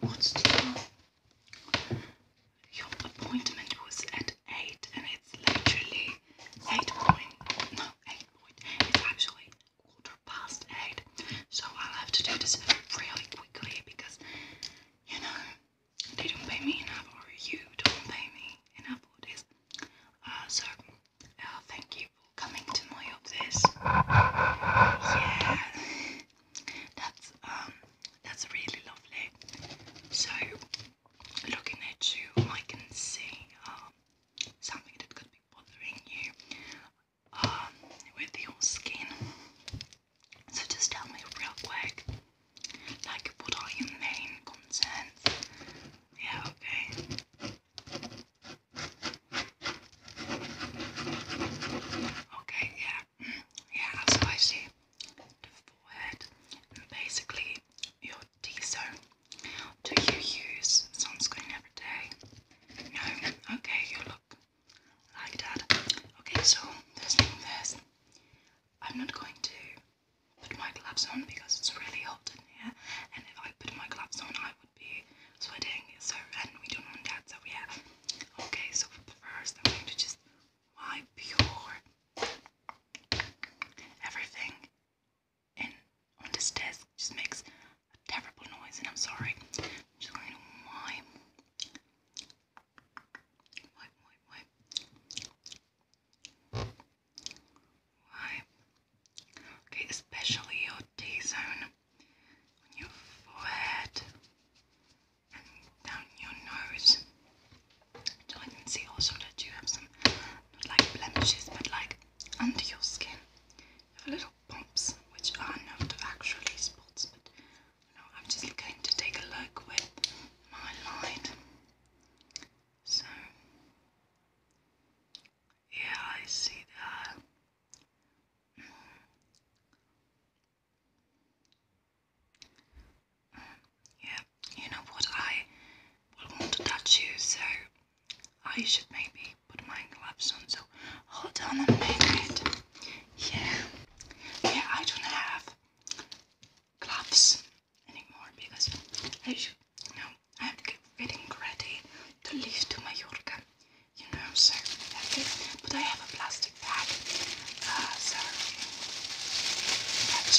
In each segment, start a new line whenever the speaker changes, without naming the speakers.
what's Your appointment was at eight, and it's literally eight point. No, eight point. It's actually quarter past eight. So I'll have to do this really quickly because, you know, they don't pay me enough or you don't pay me enough for this. Uh, so, uh, thank you for coming to my office. Yeah, that's, um, that's really lovely. So, looking at you, I can see um, something that could be bothering you um, with your skin. So just tell me real quick, like what are your main concerns? Yeah, okay. Okay, yeah, mm, yeah, so I see the forehead, and basically your do you so? Do you use sunscreen every day? No? Okay, you look like that. Okay, so first thing first, I'm not going to put my gloves on because it's really hot in here, and if I put my gloves on, I would be sweating. So, and we don't want that. So yeah. Okay, so first, I'm going to just wipe your everything and on this desk just makes a terrible noise and I'm sorry. just going to wipe. Wipe, wipe, Okay, especially your T-zone on your forehead and down your nose. So I can see also that you have some, not like blemishes, but like under your skin. You have little bumps, which are not actually spots, but I'm just going to take a look with my light. So, yeah, I see that. Mm, yeah, you know what? I want to touch you, so I should maybe put my gloves on, so hold on a minute. Yeah, yeah, I don't have gloves anymore because I should, you know, I'm getting ready to leave to Mallorca, you know, so that's it. But I have a plastic bag, uh, so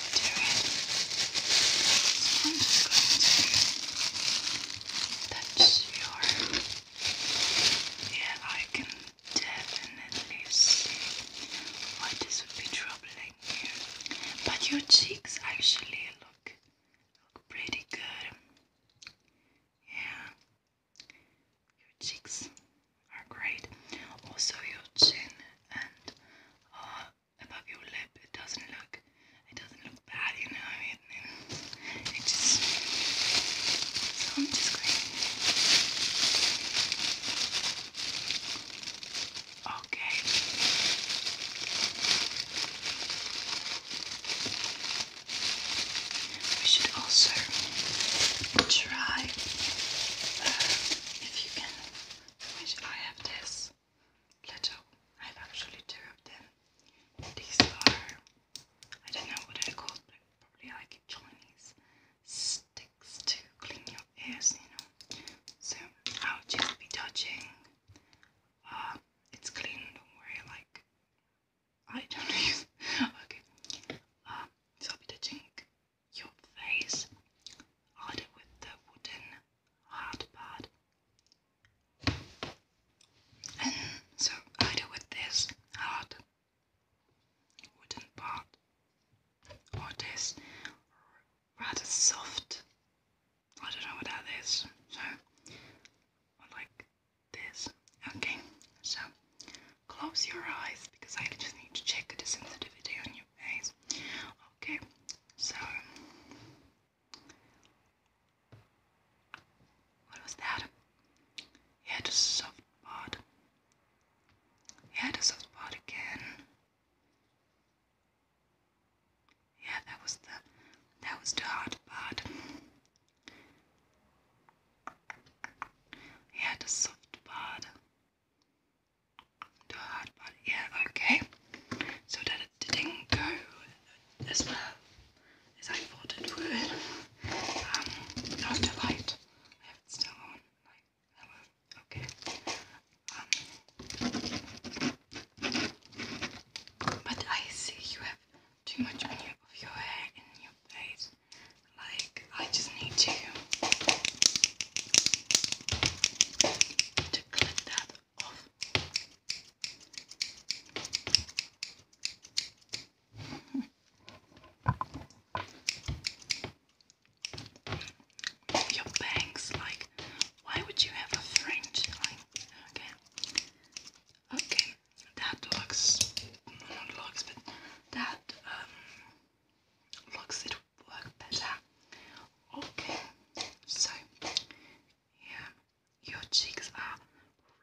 do it. So your. Yeah, I can definitely see why this would be troubling you. But your cheeks actually look look pretty good. Yeah. Your cheeks are great. Also your chin and uh, above your lip. It doesn't look, it doesn't look bad, you know. I it just. am just going. Okay. We should also try uh, if you can. I have this little. I have actually two of them. These are, I don't know what they're called, but probably like Chinese sticks to clean your ears, you know. So I'll just be touching. Uh, it's clean, don't worry, like, I don't use. okay. Uh, so I'll be touching your face, I either with the wooden hot pot. And so I with this hot wooden pot or this rather soft I don't know what that is. So like this. Okay, so close your eyes because I just need to check this sensitivity on you face. Okay, so what was that? Yeah, the soft part. Yeah, the soft part again. Yeah, that was the that was the hard part. Yeah, the soft part. Do a hard part, yeah, okay. So that it didn't as well as I thought it would. Um, not the light. I still on. Like, hello, okay. Um, but I see you have too much of your hair in your face. Like, I just need to to clip that off. Your bangs, like, why would you have a fringe? okay, okay, that looks, looks, but that um, looks it will work better. Okay, so yeah, your cheeks are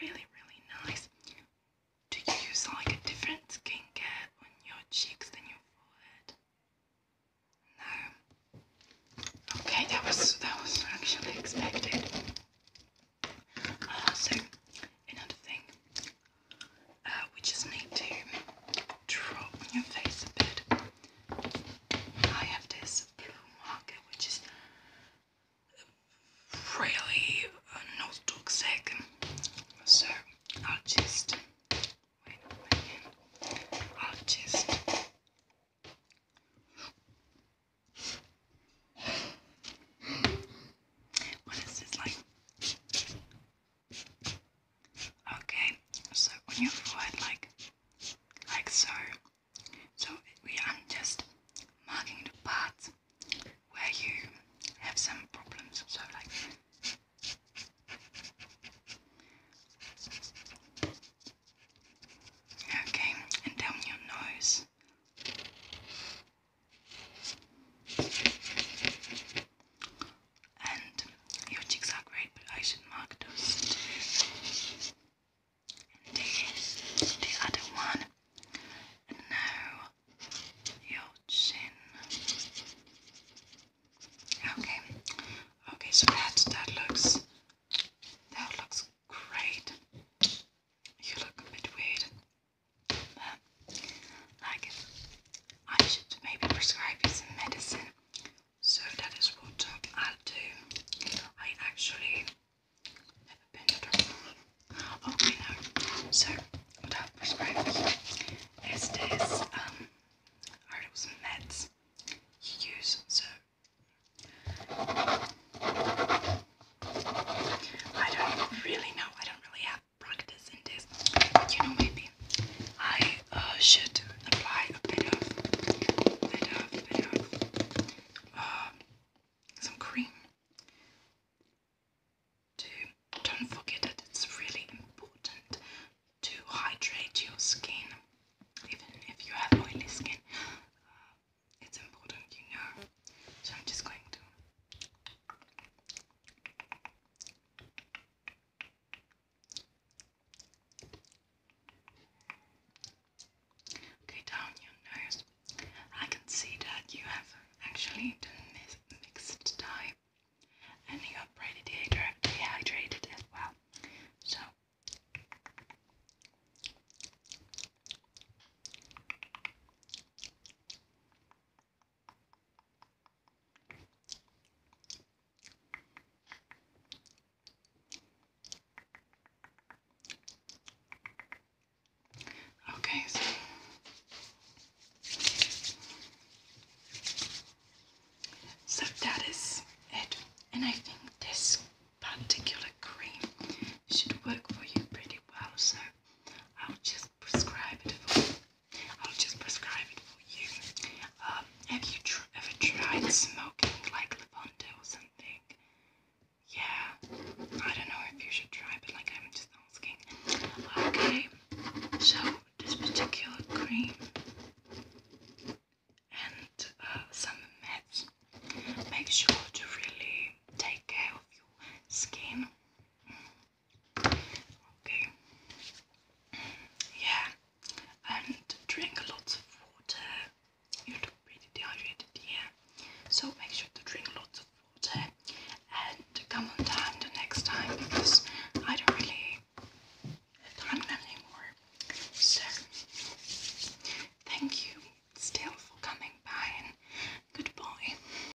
really, really nice. Do you use like a different skincare on your cheeks than your forehead? No. Okay, that was that was actually expected. Uh, so another thing, uh, we just need to drop on your face a bit. I have this blue marker which is really uh, not toxic, so I'll just wait a minute. What is this like? Okay, so on your forehead, like, like so. So we are just marking the parts where you have some problems. So like. Okay, and down your nose. And your cheeks are great, but I should mark those. And the, other one. And now your chin. Okay. Okay, so that that looks that looks great. You look a bit weird. Um, like, I should maybe prescribe you some medicine. So that is what um, I'll do. I actually never been to the doctor. So what I'll prescribe is this. I heard it was meds you use. So I don't really know. I don't really have practice in this, you know, maybe I uh, should apply a bit of, bit of, bit of uh, some cream to don't forget that it's really important to hydrate your skin, even if you have oily skin. Uh, it's important, you know. So I'm just going to. Okay, down your nose. I can see that you have actually the mixed type and you are pretty dehydrated as well. So Okay, so that is it, and I think this particular cream should work for you pretty well. So I'll just prescribe it for you. I'll just prescribe it for you. Um, have you ever tried smoking like Levante or something? Yeah, I don't know if you should try, but like I'm just asking. Okay, so this particular cream and uh, some meds. Make sure to really take care of your skin. Mm. Okay. Yeah, and drink lots of water. You look pretty dehydrated here, so make sure to drink lots of water and come on time the next time because I don't really have time anymore. So, thank you still for coming by and goodbye.